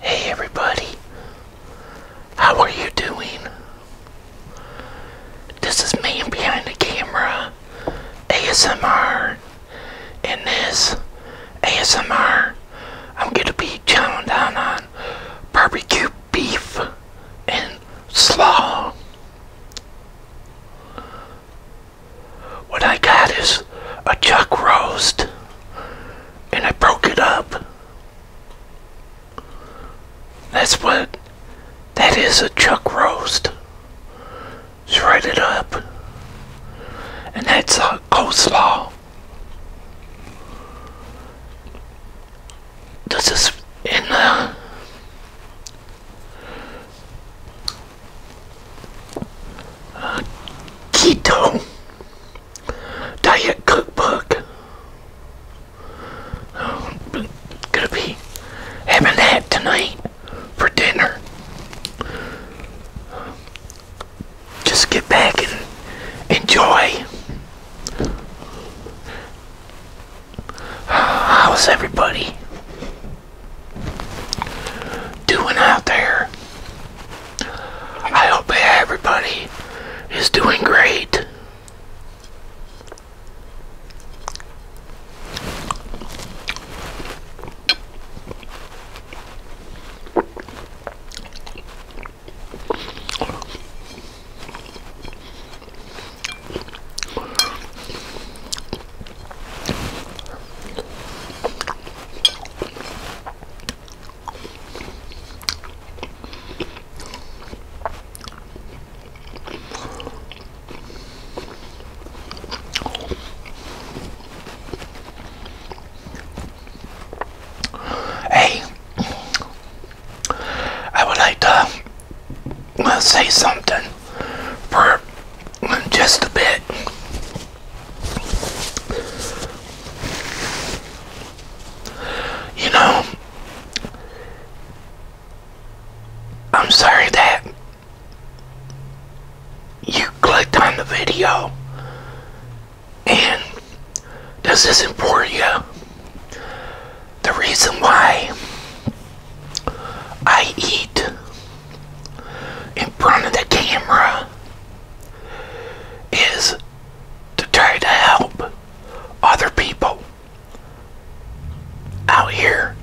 Hey everybody, how are you doing? This is man behind the camera, ASMR, and this ASMR I'm gonna be chowing down on barbecue beef and slaw. What I got is a chuck roast, and I broke it up. That's what that is a chuck roast. Shred it up, and that's a coleslaw. This is in there. Uh, keto diet cookbook. Oh, gonna be having that tonight for dinner. Just get back and enjoy. how's everybody? doing out there. I hope everybody is doing great. Hey, I would like to uh, say something for just a bit. You know, I'm sorry that you clicked on the video and this isn't for you. The reason why I eat in front of the camera is to try to help other people out here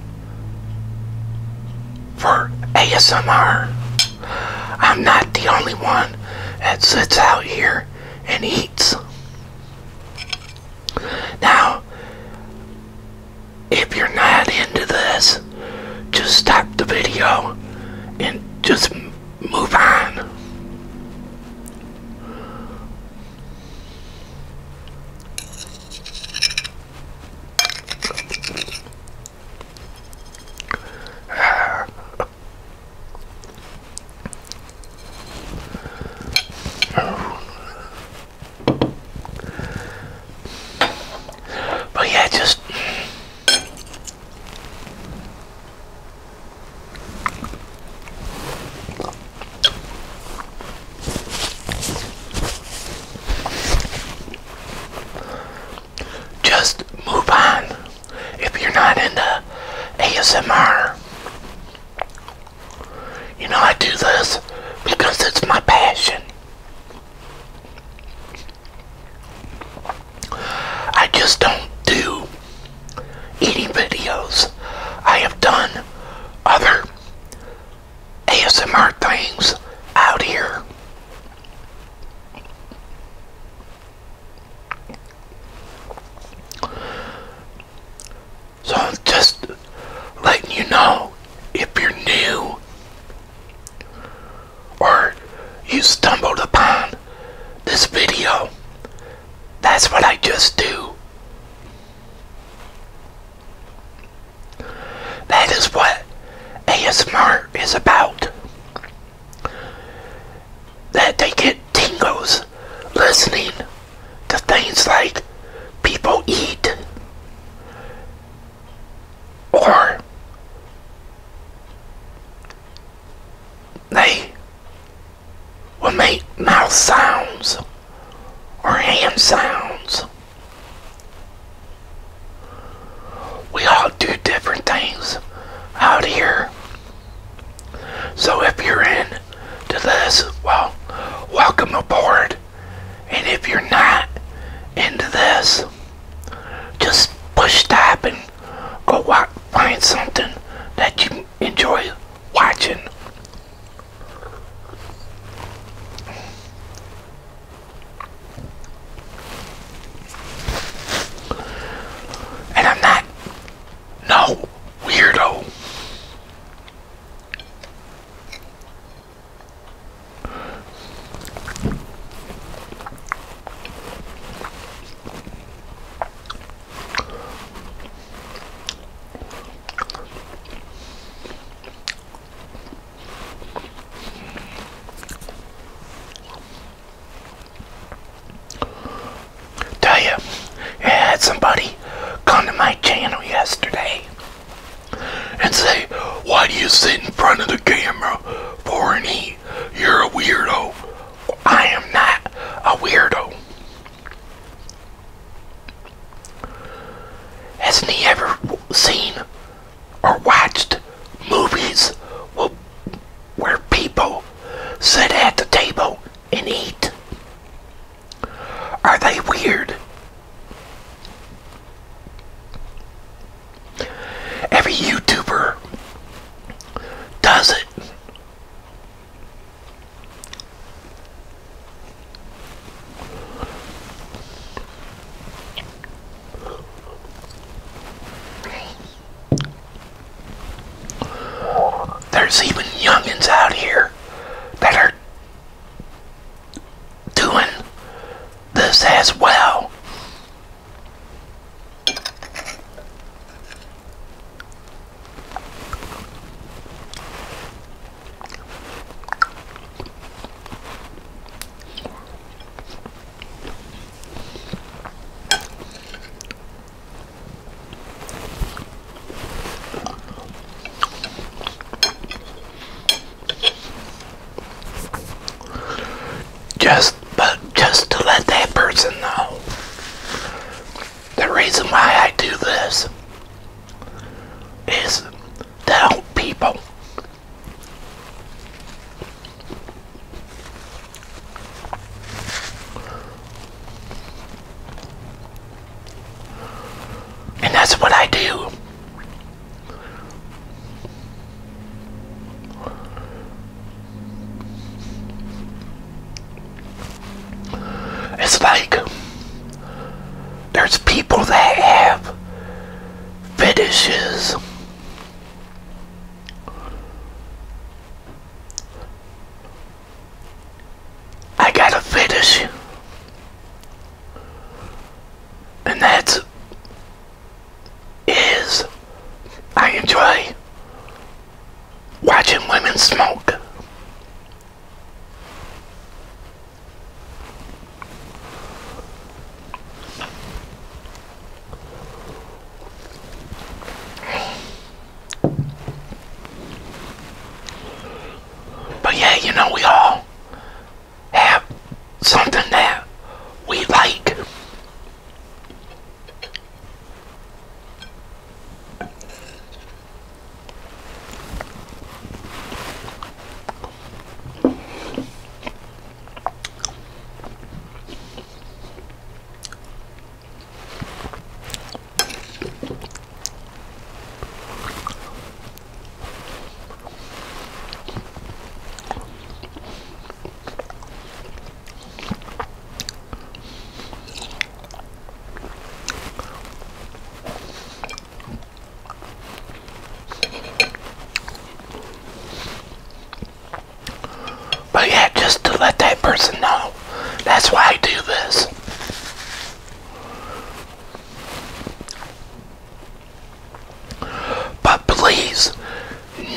for ASMR. I'm not the only one that sits out here and eats. Now, if you're not into this, just stop the video and just move on. But yeah, just just move on if you're not into ASMR. You know, I do this because it's my passion. I just don't do eating videos. I have done other ASMR things out here. So just letting you know if you're new or you stumbled upon this video. That's what I just do. That is what ASMR is about. That they get tingles listening to things like people eat or they will make mouth sounds or hand sounds. We all do different things out here. So if you're in to this, well, welcome aboard. And if you're not into this, just push stop and go watch, find something that you enjoy watching. And I'm not no weirdo. Tell you, I had somebody come to my channel yesterday and say, Why do you sit in front of the camera for an E? You're a weirdo. I am not a weirdo. Hasn't he ever seen or watched movies where people sit at the table and eat? Are they weird Every YouTuber does it. There's even youngins out here that are doing this as well. Just, but just to let that person know the reason why I do this is to help people. And that's what I do. It's like there's people that have fetishes. I got a fetish and that is I enjoy watching women smoke. But yeah, you know, we all have something that we like. But yeah, just to let that person know, that's why I do this. But please,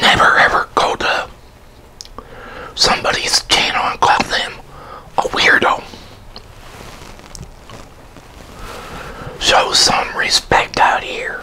never ever go to somebody's channel and call them a weirdo. Show some respect out here.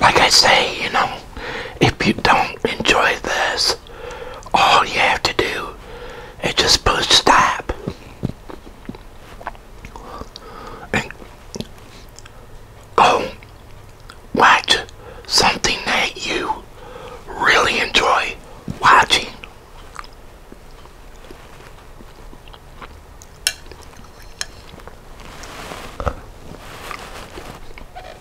like I say, you know, if you don't enjoy this, all you have to do is just push stop. And go watch something that you really enjoy watching.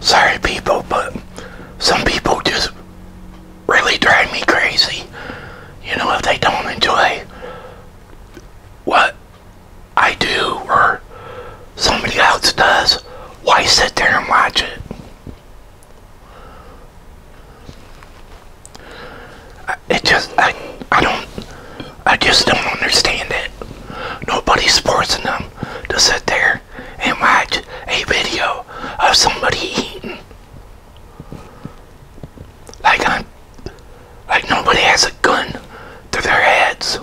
Sorry people, but some people just really drive me crazy. You know, if they don't enjoy what I do or somebody else does, why sit there and watch it? It just, I, I don't, I just don't understand it. Nobody's forcing them to sit there and watch a video of somebody eating. Like on like nobody has a gun to their heads.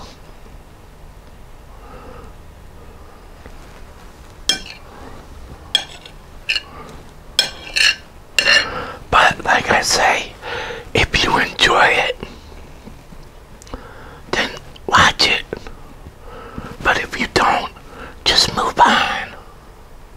But like I say, if you enjoy it, then watch it. But if you don't, just move on.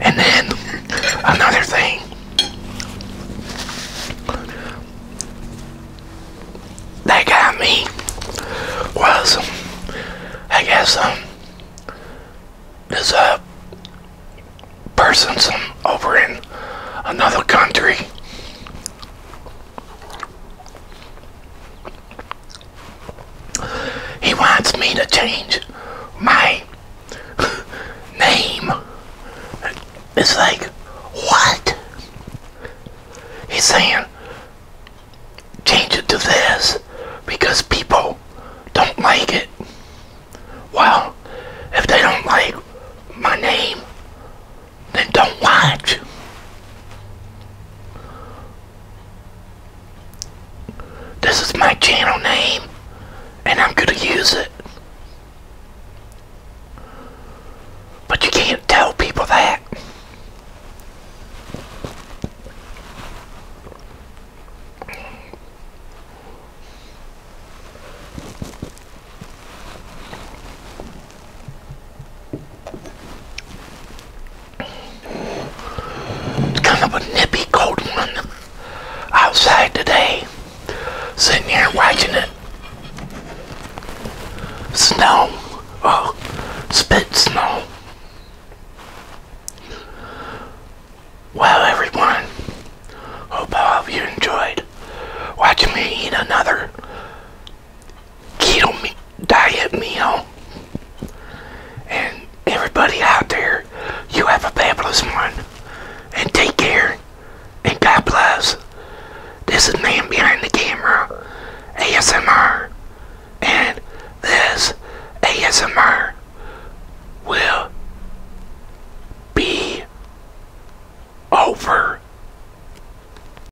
And then another thing that got me was, I guess, um, there's a uh, person some over in another country he wants me to change my name. It's like, what? He's saying, change it to this because people don't like it. Well, if they don't like my name, then don't watch. This is my channel name, and I'm going to use it. But you can't tell people that kind of a nippy cold one outside today. Sitting here watching it snow. Oh, spit snow. Well, everyone, hope all of you enjoyed watching me eat another keto diet meal. And everybody out there, you have a fabulous one. And take care. And God bless. This is Man Behind the Camera, ASMR. And this ASMR will be over.